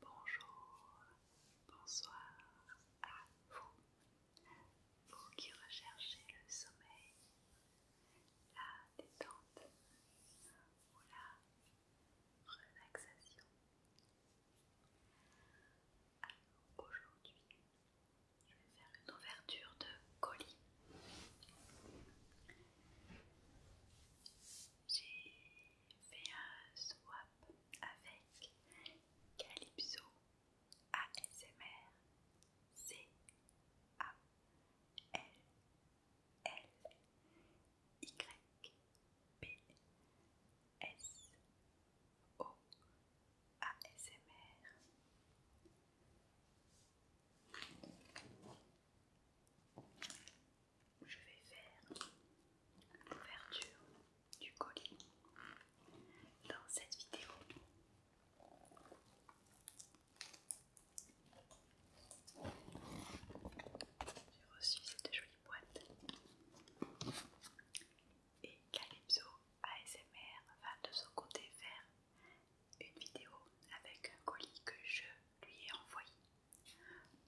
Bonjour, bonsoir à vous, vous qui recherchez le sommeil, la détente ou la relaxation. Alors aujourd'hui, je vais faire une ouverture de colis. J'ai fait un swap avec Calypso ASMR C A L L Y P S O A S M R. Je vais faire l'ouverture du colis dans cette vidéo. reçu cette boîte. Et Calypso ASMR va de son côté faire une vidéo avec un colis que je lui ai envoyé.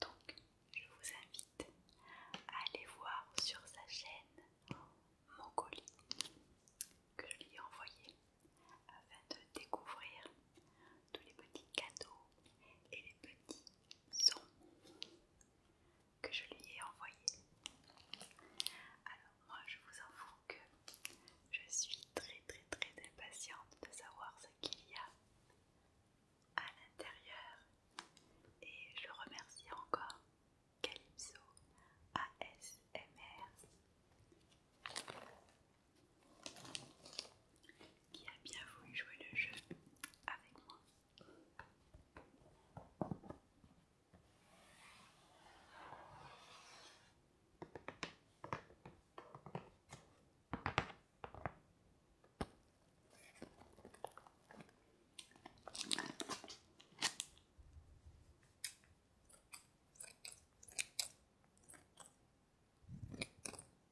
Donc je vous invite à aller voir sur sa chaîne mon colis que je lui ai envoyé afin de découvrir tous les petits cadeaux et les petits son que je lui ai envoyé. Alors moi je vous avoue que je suis très très très impatiente de savoir ce qu'il y a à l'intérieur et je remercie encore Calypso ASMR qui a bien voulu jouer le jeu avec moi.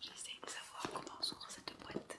J'essaie de savoir comment s'ouvre cette boîte.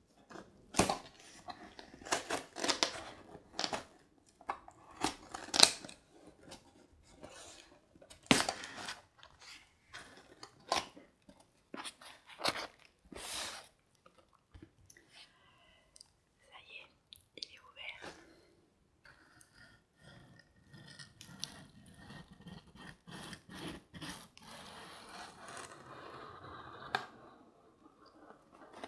Ça y est, il est ouvert.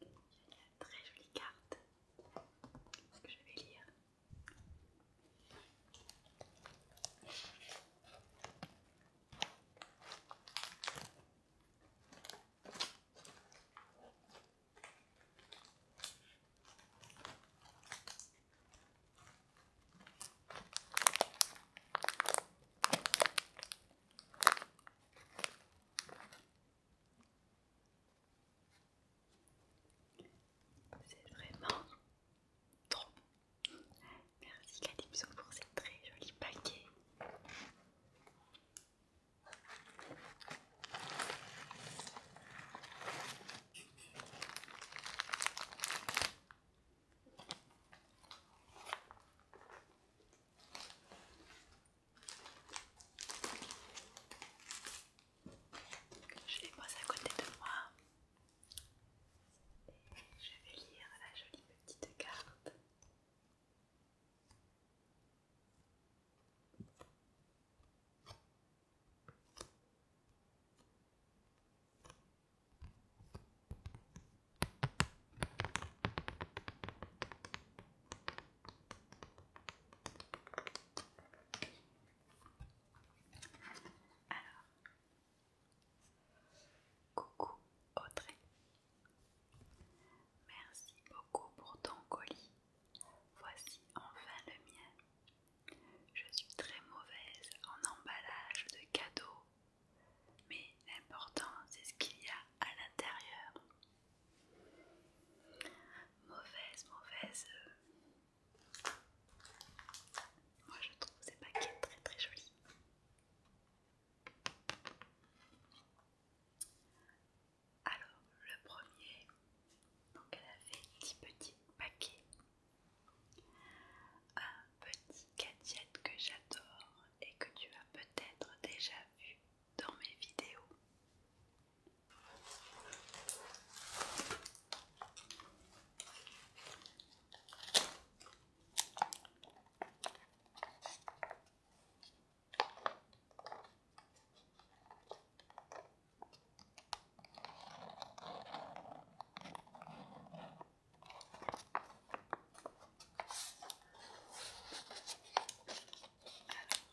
J'ai une très jolie carte que je vais lire. C'est vraiment trop Merci Calypso pour ces très jolis paquets. Je les pose à côté de moi et je vais lire la jolie petite carte. Alors, coucou Audrey, merci beaucoup pour ton colis. Voici enfin le mien. Je suis très mauvaise en emballage de cadeaux, mais l'important c'est ce qu'il y a à l'intérieur. Mauvaise, mauvaise. Euh. Moi je trouve ces paquets très très jolis. Alors le premier, donc elle a fait 10 petits paquets. Un petit gadget que j'adore et que tu as peut-être déjà vu dans mes vidéos.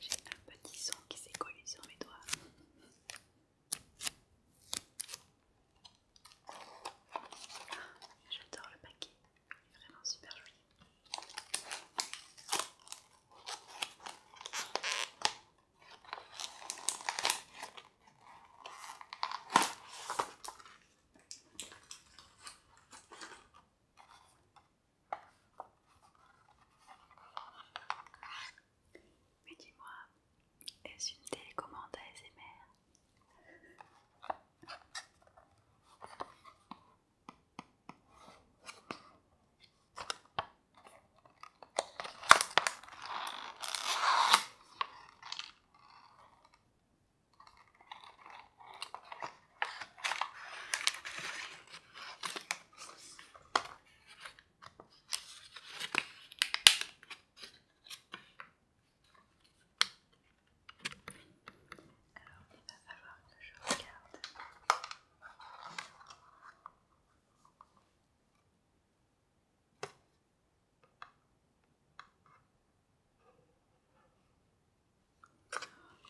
J'ai un petit son qui s'est collé sur mes doigts. Ah, j'adore le paquet, il est vraiment super joli. Mais dis-moi, est-ce une télécommande ASMR alors, il va falloir que je regarde.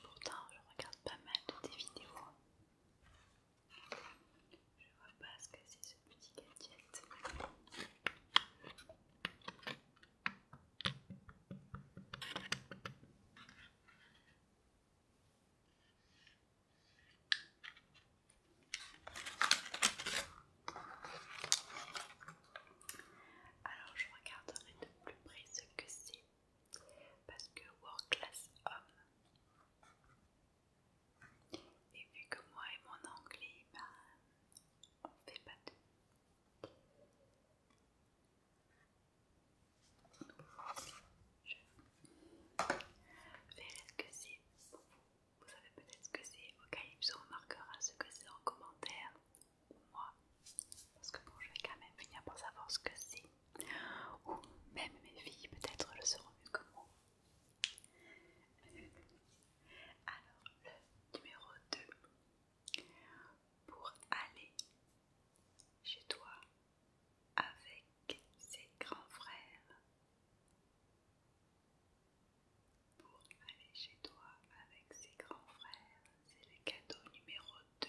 Pourtant, je regarde pas mal de tes vidéos. Je vois pas ce que c'est ce petit gadget. Alors je regarderai de plus près ce que c'est. Parce que work class homme. Et vu que moi et mon anglais, ben, on fait pas tout. Je ce que c'est vous. savez peut-être ce que c'est. Au on marquera ce que c'est en commentaire. moi. Parce que bon, je vais quand même venir pour savoir ce que c'est. Ou même mes filles, peut-être, le seront mieux que moi. Alors, le numéro 2. Pour aller chez toi avec ses grands frères. Pour aller chez toi avec ses grands frères, c'est le cadeau numéro 2.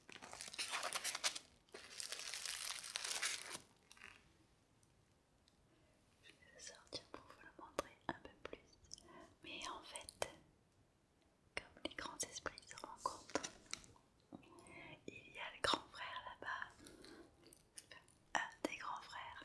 Je vais sortir pour vous le montrer un peu plus. Mais en fait, comme les grands esprits se rencontrent, il y a le grand frère là-bas. un des grands frères.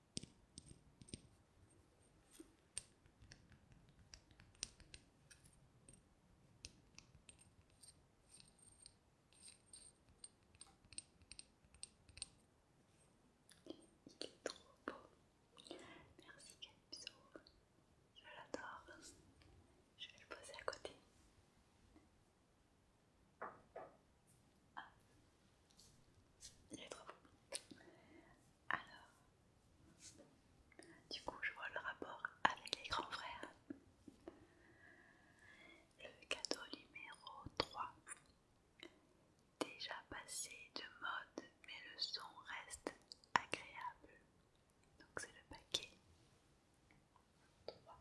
Il est trop beau. Merci Calypso. Je l'adore. Je vais le poser à côté. Ah. Il est trop beau. Alors, du coup, je vois le rapport avec les grands frères. Le cadeau numéro 3. Déjà passé de mode, mais le son reste agréable. Donc c'est le paquet 3.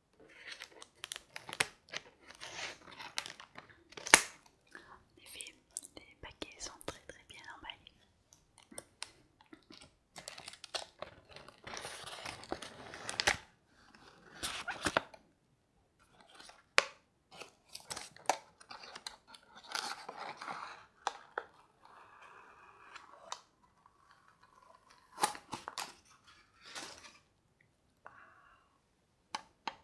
En les paquets sont très très bien emballés. Alors,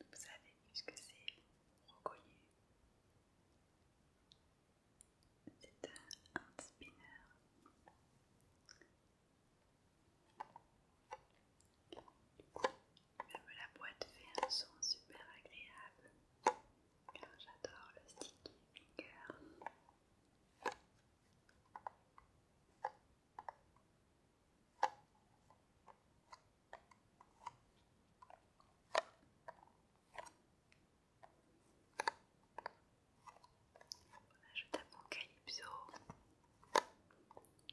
vous savez, que c'est reconnu, c'est un spinner la boîte fait un son super agréable j'adore le sticky je tape mon Calypso,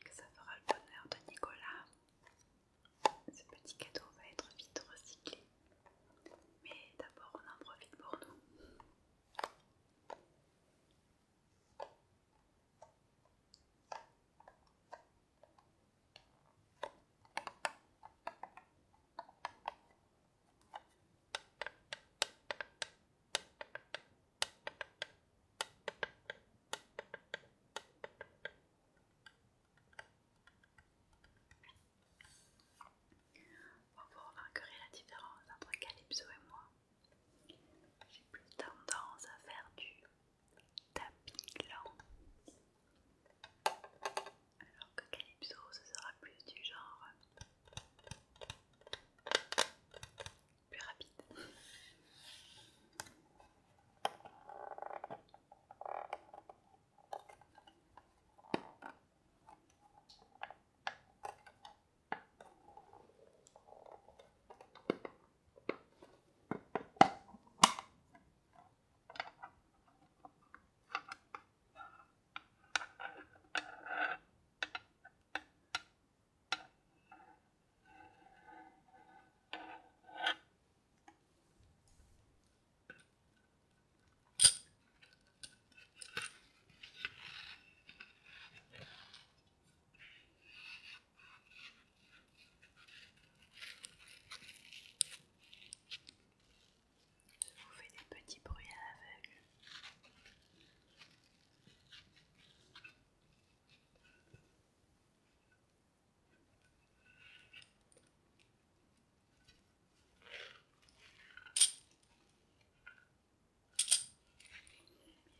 que ça fera le bonheur de Nicolas. Ce petit cadeau va être vite recyclé, mais d'abord on en profite pour nous. Vous remarquerez la différence entre Calypso et moi. J'ai plus tendance à faire du tapis lent Alors que Calypso, ce sera plus du genre plus rapide. Je vous fais des petits bruits à l'aveugle. Il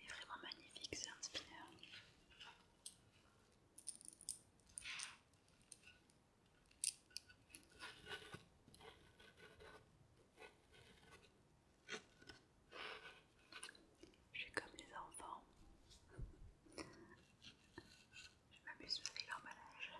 est vraiment magnifique, c'est un spinner. Je suis comme les enfants. Je m'amuse avec l'emballage.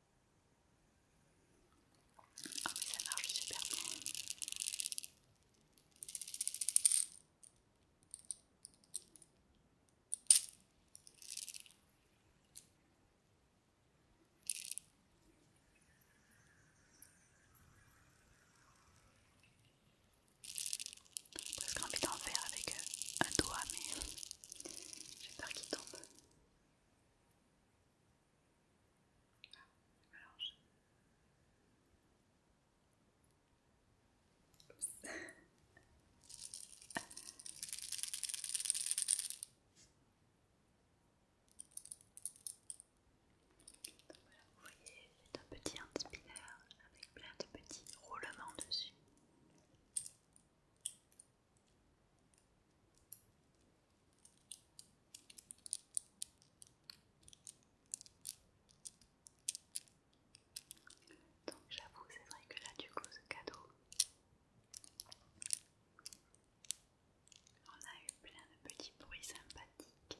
Ah oui, ça marche super bien. J'ai presque envie d'en faire avec euh, un doigt, mais j'ai peur qu'il tombe vous voyez, c'est un petit hand spinner avec plein de petits roulements dessus. Donc j'avoue, c'est vrai que là du coup ce cadeau, on a eu plein de petits bruits sympathiques.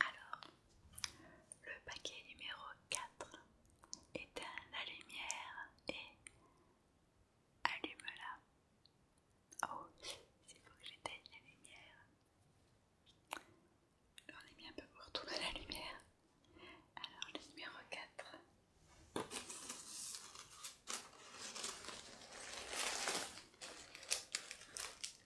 Alors, le paquet numéro 4 éteins la lumière et allume-la. Oh, il faut que j'éteigne la lumière. on est un peu pour de la lumière. Alors, le numéro 4.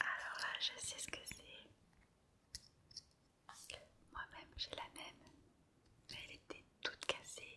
Alors là, je sais ce que c'est. Moi-même, j'ai la même, mais elle était toute cassée.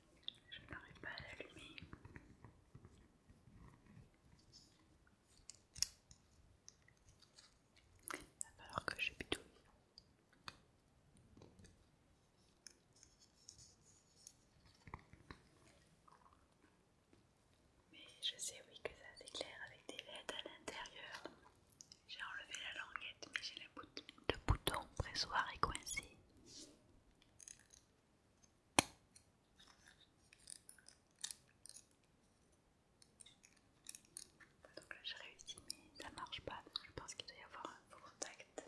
Je n'arrive pas à l'allumer. alors que je bidouille. Mais je sais oui que ça s'éclaire avec des LED à l'intérieur. J'ai enlevé la languette mais j'ai le, bouton de bouton pressoir et coincé. Donc là j'ai réussi mais ça marche pas je pense qu'il doit y avoir un faux contact.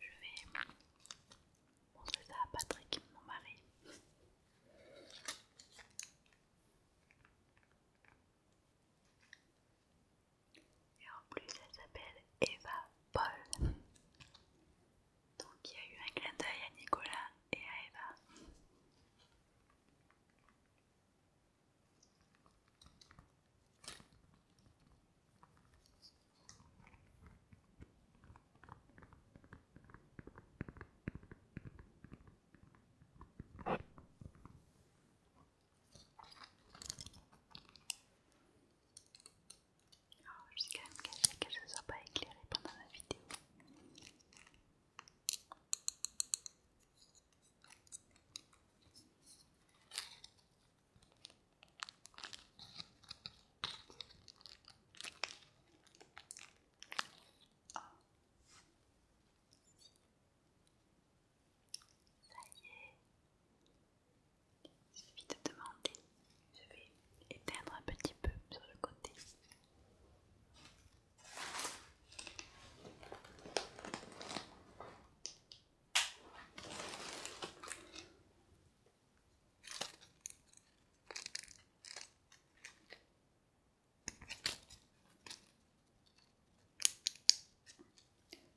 Je vais montrer ça à Patrick, mon mari. Et en plus, elle s'appelle Eva Paul. Donc il y a eu un clin d'œil à Nicolas et à Eva. Oh, je suis quand même cachée que je ne soit pas éclairée pendant la vidéo. Oh. Ça y est, il suffit de demander. Je vais éteindre un petit peu sur le côté.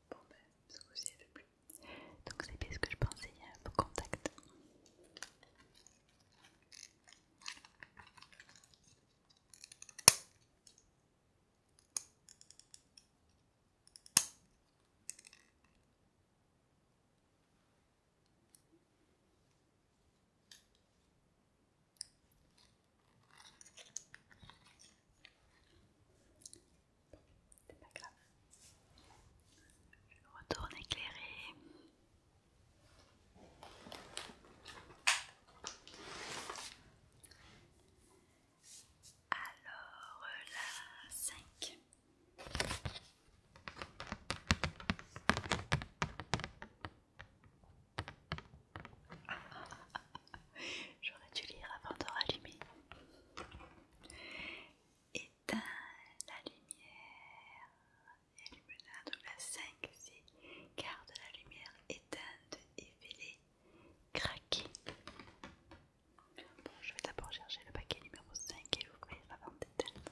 Bon ben, ce que ci est plus donc c'est bien ce que je pensais vos contact. Bon, c'est pas grave. Je retourne éclairer. Alors la 5. J'aurais dû lire avant de rallumer éteins la lumière. Illumina donc la 5, car garde la lumière éteinte, et effilée, craquer Bon, je vais d'abord chercher le paquet numéro 5 et l'ouvrir avant d'éteindre.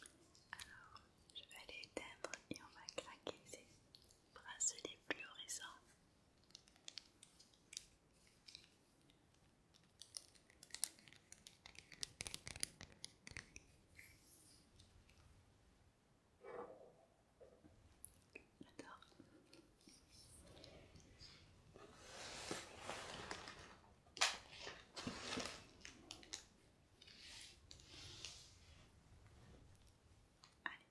Alors, je vais aller éteindre et on va craquer ces bracelets fluorescents. J'adore. Allez.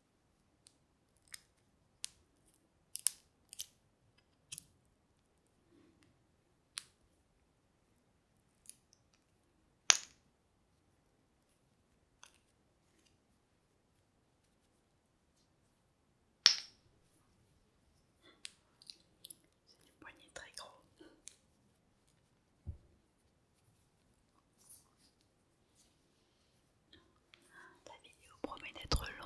C'est du poignet très gros. La vidéo promet d'être longue.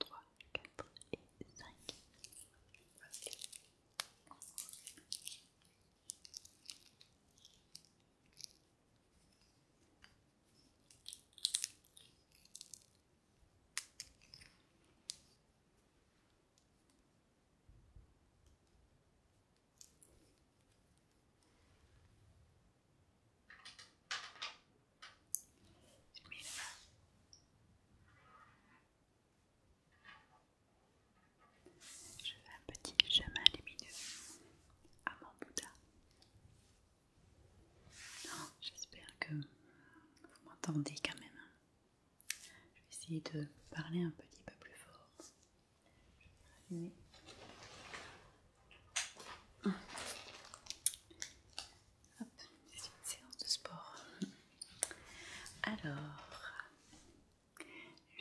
3, 4 et 5 je fais un petit chemin lumineux à mon Bouddha j'espère que vous m'entendez quand même je vais essayer de parler un petit peu plus fort je vais c'est une séance de sport. Alors,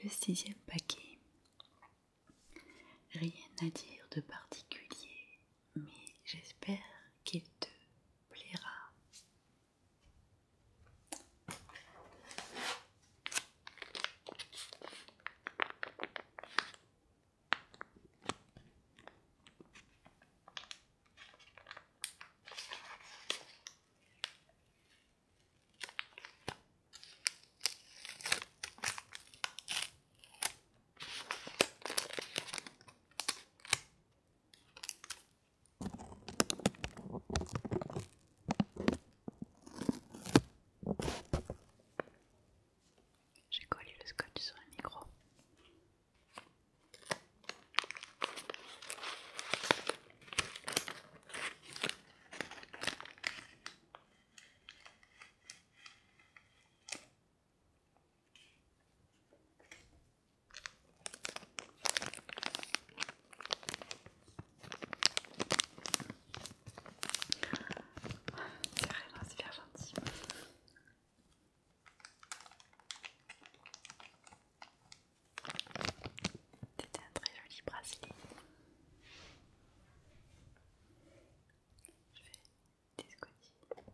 le sixième paquet. Rien à dire de particulier, mais j'espère qu'il te plaira. J'ai collé le scotch sur un micro c'est vraiment super gentil. C'était un très joli bracelet. Je vais discuter.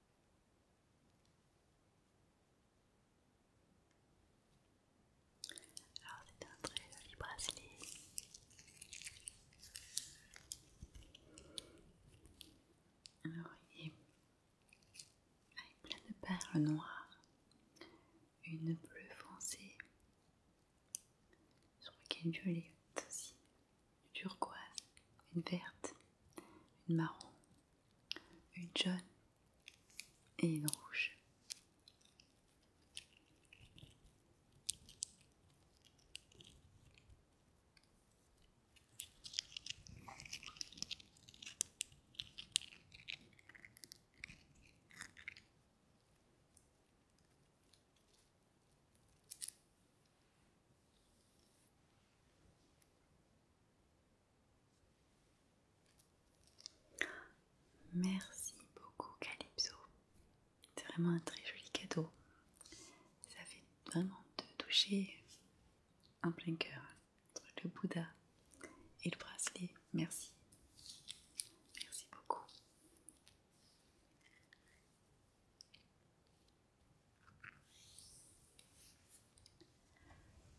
Alors c'est un très joli bracelet. Alors il avec plein de perles noires, une bleue foncée, je crois qu'elle est jolie aussi une turquoise, une verte, une marron, une jaune et une rouge. Merci beaucoup Calypso. C'est vraiment un très joli cadeau. Ça fait vraiment te toucher en plein cœur. Le Bouddha et le bracelet. Merci. Merci beaucoup.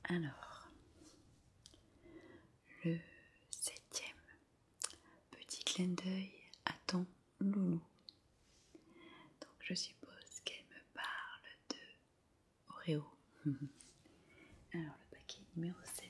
Alors, le septième petit clin d'œil à ton loulou. Donc je suppose qu'elle me parle de Oreo. Alors le paquet numéro 7.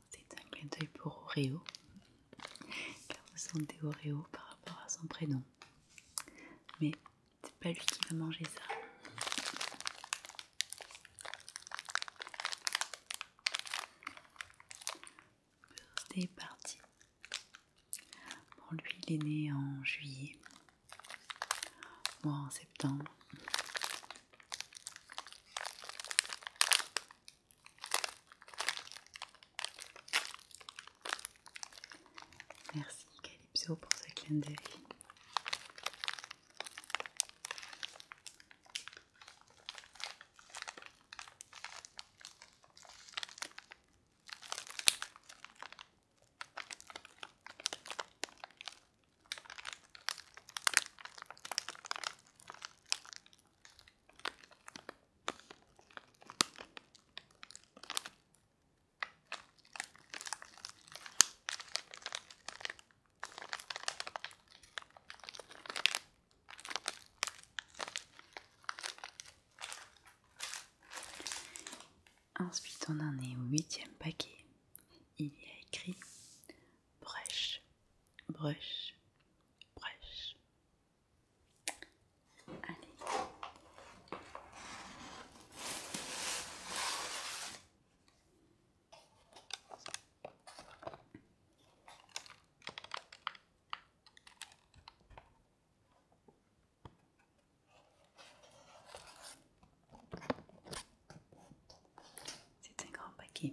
c'est un clin d'œil pour Oreo, car vous sentez Oreo par rapport à son prénom. Mais c'est pas lui qui va manger ça. C'est parti Bon, lui, il est né en juillet, moi en septembre. Merci Calypso pour ce clin Ensuite, on en est au huitième paquet. Il y a écrit brush, brush, brush. Allez. C'est un grand paquet.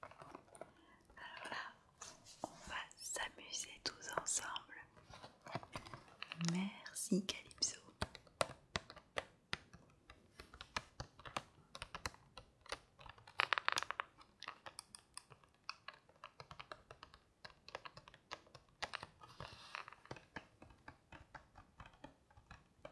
Alors là, on va s'amuser tous ensemble. Merci Calypso.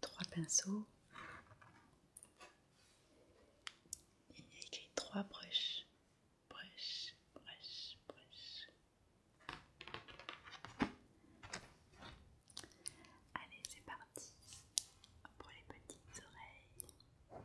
Trois pinceaux. Il y a écrit trois broches, broches, broches, broches. Allez, c'est parti pour les petites oreilles.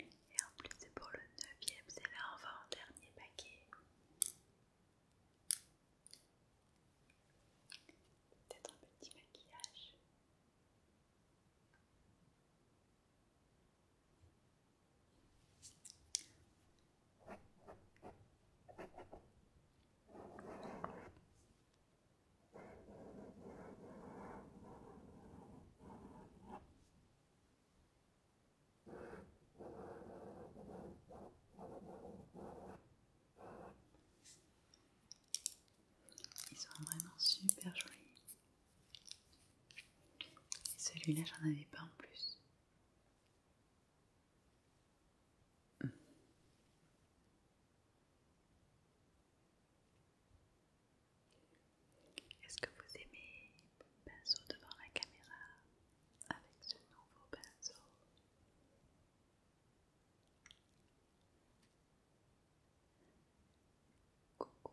Et en plus c'est pour le neuvième, c'est là on va en dernier paquet. Peut-être un petit maquillage. Ils sont vraiment super jolis. Celui-là, j'en avais pas en plus. Est-ce que vous aimez le pinceau devant la caméra avec ce nouveau pinceau Coucou.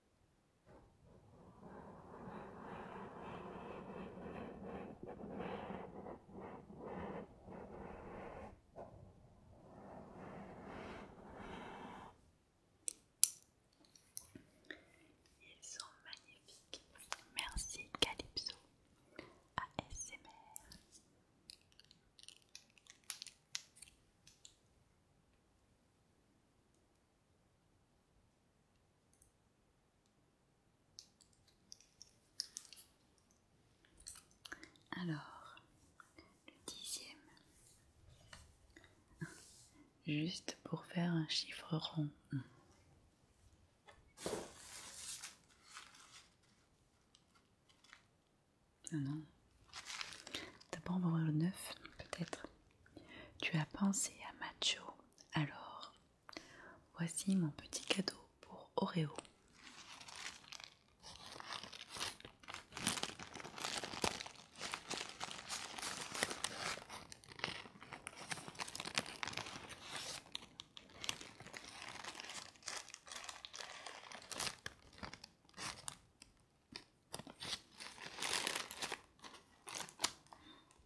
Ils sont magnifiques. Merci Calypso. ASMR. Alors, le dixième. Juste pour faire un chiffre rond. Ah non. D'abord on va le 9, peut-être. Tu as pensé à Macho, alors voici mon petit cadeau pour Oreo.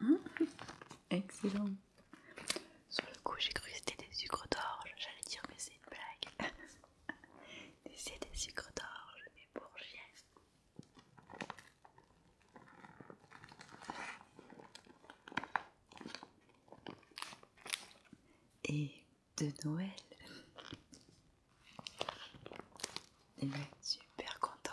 Hein excellent. Sur le coup, j'ai cru que c'était des sucres d'orge. J'allais dire, que c'est une blague. c'est des sucres d'orge, mais pour chien et de Noël. super content.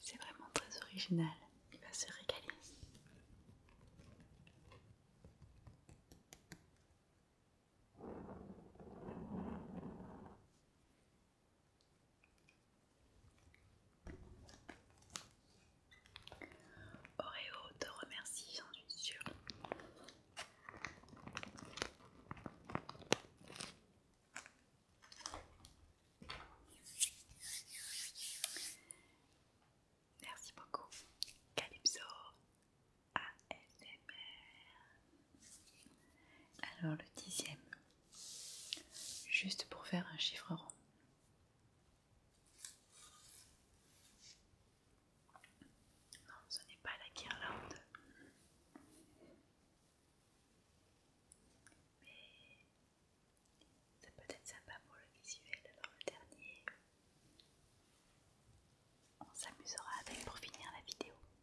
C'est vraiment très original, il va se régaler. Oreo te remercie, j'en suis sûre. Merci beaucoup, Calypso ASMR. Alors, le dixième juste pour faire un chiffre rond. Non, ce n'est pas la guirlande. Mais ça peut être sympa pour le visuel. Alors le dernier, on s'amusera avec pour finir la vidéo.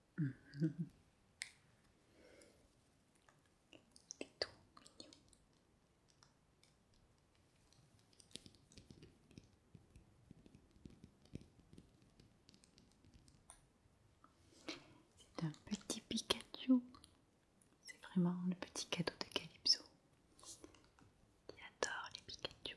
C'est un petit Pikachu. C'est vraiment le petit cadeau de Calypso qui adore les Pikachu.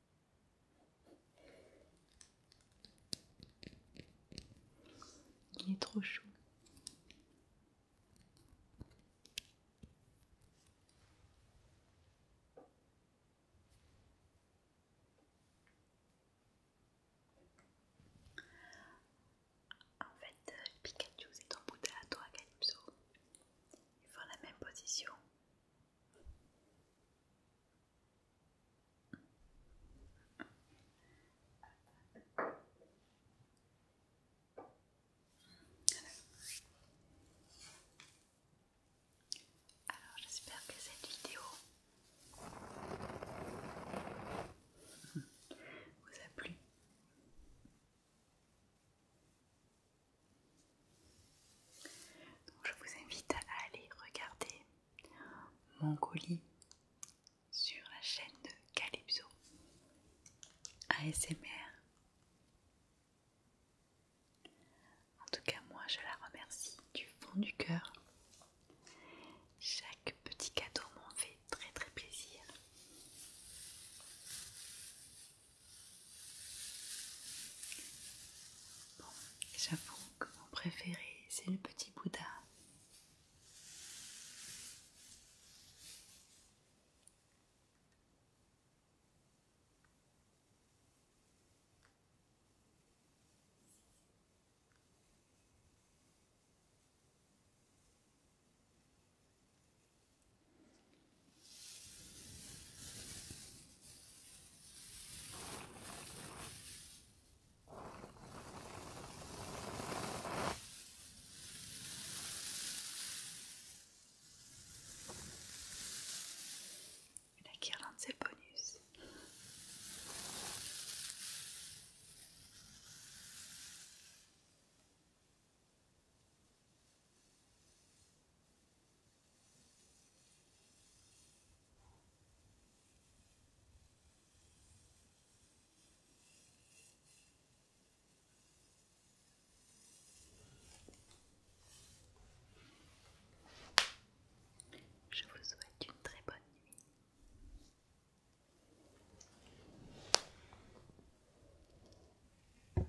Il est trop chaud. En fait, Pikachu est embouté à toi, Calypso. Ils font la même position. Alors. j'espère que cette vidéo vous a plu. je vous invite à aller regarder mon colis sur la chaîne de Calypso ASMR. En tout cas, moi je la remercie du fond du cœur. Chaque petit cadeau m'en fait très très plaisir. Bon, j'avoue mon préféré c'est le petit Bouddha. Et la guirlande c'est bonus. Je vous souhaite une très bonne nuit.